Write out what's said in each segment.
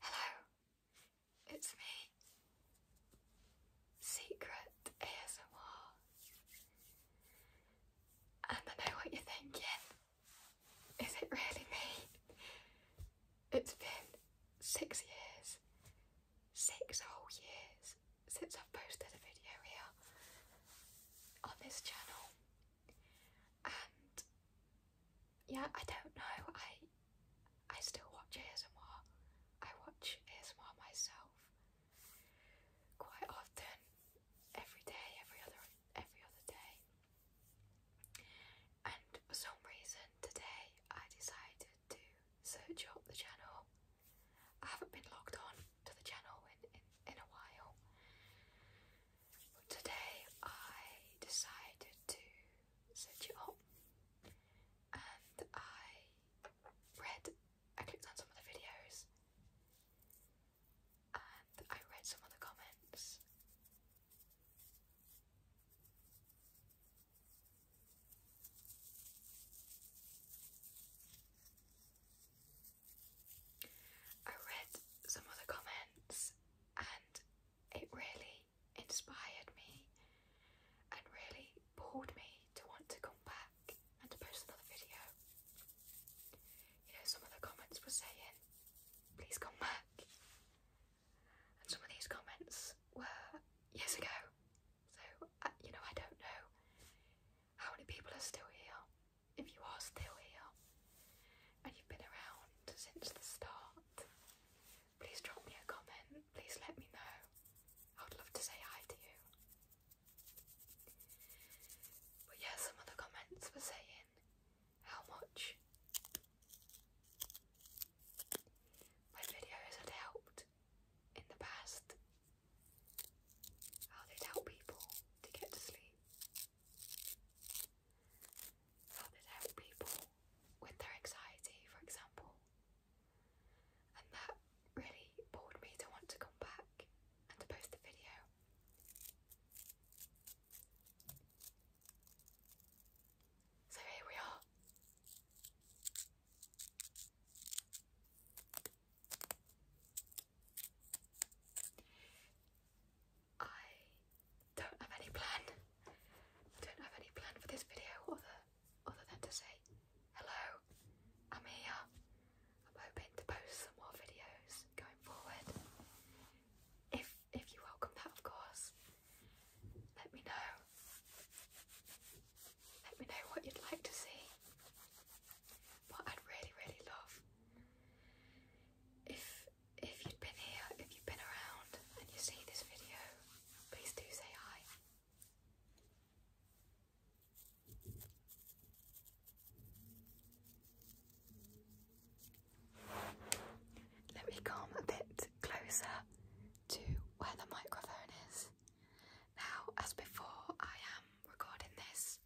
Hello, it's me, Secret ASMR. And I know what you're thinking. Is it really me? It's been six years, six whole years since I've posted a video here on this channel and yeah, I don't know. I I still watch ASMR. I watch ASMR myself quite often, every day, every other every other day. And for some reason today, I decided to search up the channel I haven't been logged on to the channel in, in, a while. But today I decided to set you up and I read, I clicked on some of the videos and I read some of the comments. I read some of comments and it really inspired me and really pulled me to want to come back and to post another video. You know, some of the comments were saying, please come back. And some of these comments were years ago, so, uh, you know, I don't know how many people are still here. If you are still here and you've been around since the start, please drop me a comment. Please let me know. I would love to say hi to you. But yeah, some of the comments were saying how much my videos had helped in the past, how they'd help people to get to sleep, how they'd help people with their anxiety, for example, and that really bored me to want to come back and to post the video. So here we are. I don't have any plan. don't have any plan for this video other than to say hello, I'm here, I'm hoping to post some more videos going forward. If if you welcome that, of course, let me know. Let me know what you'd like to see. What I'd really, really love. If if you've been here, if you've been around, and you see this video, please do say hi. Let me come a bit closer to where the microphone is. Now, as before, I am recording this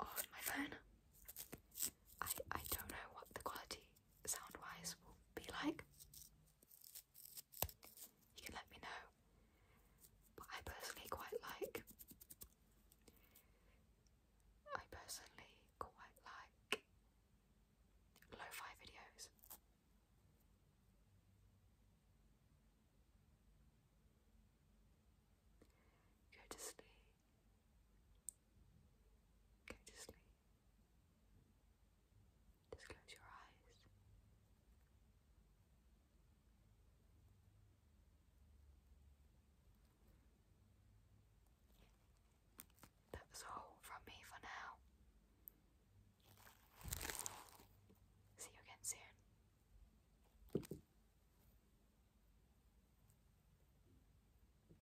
on my phone. I, I don't know what the quality sound wise will be like you can let me know. But I personally quite like. I personally quite like lo fi videos. Go to sleep. Go to sleep. Just close your eyes. That's all from me for now. See you again soon.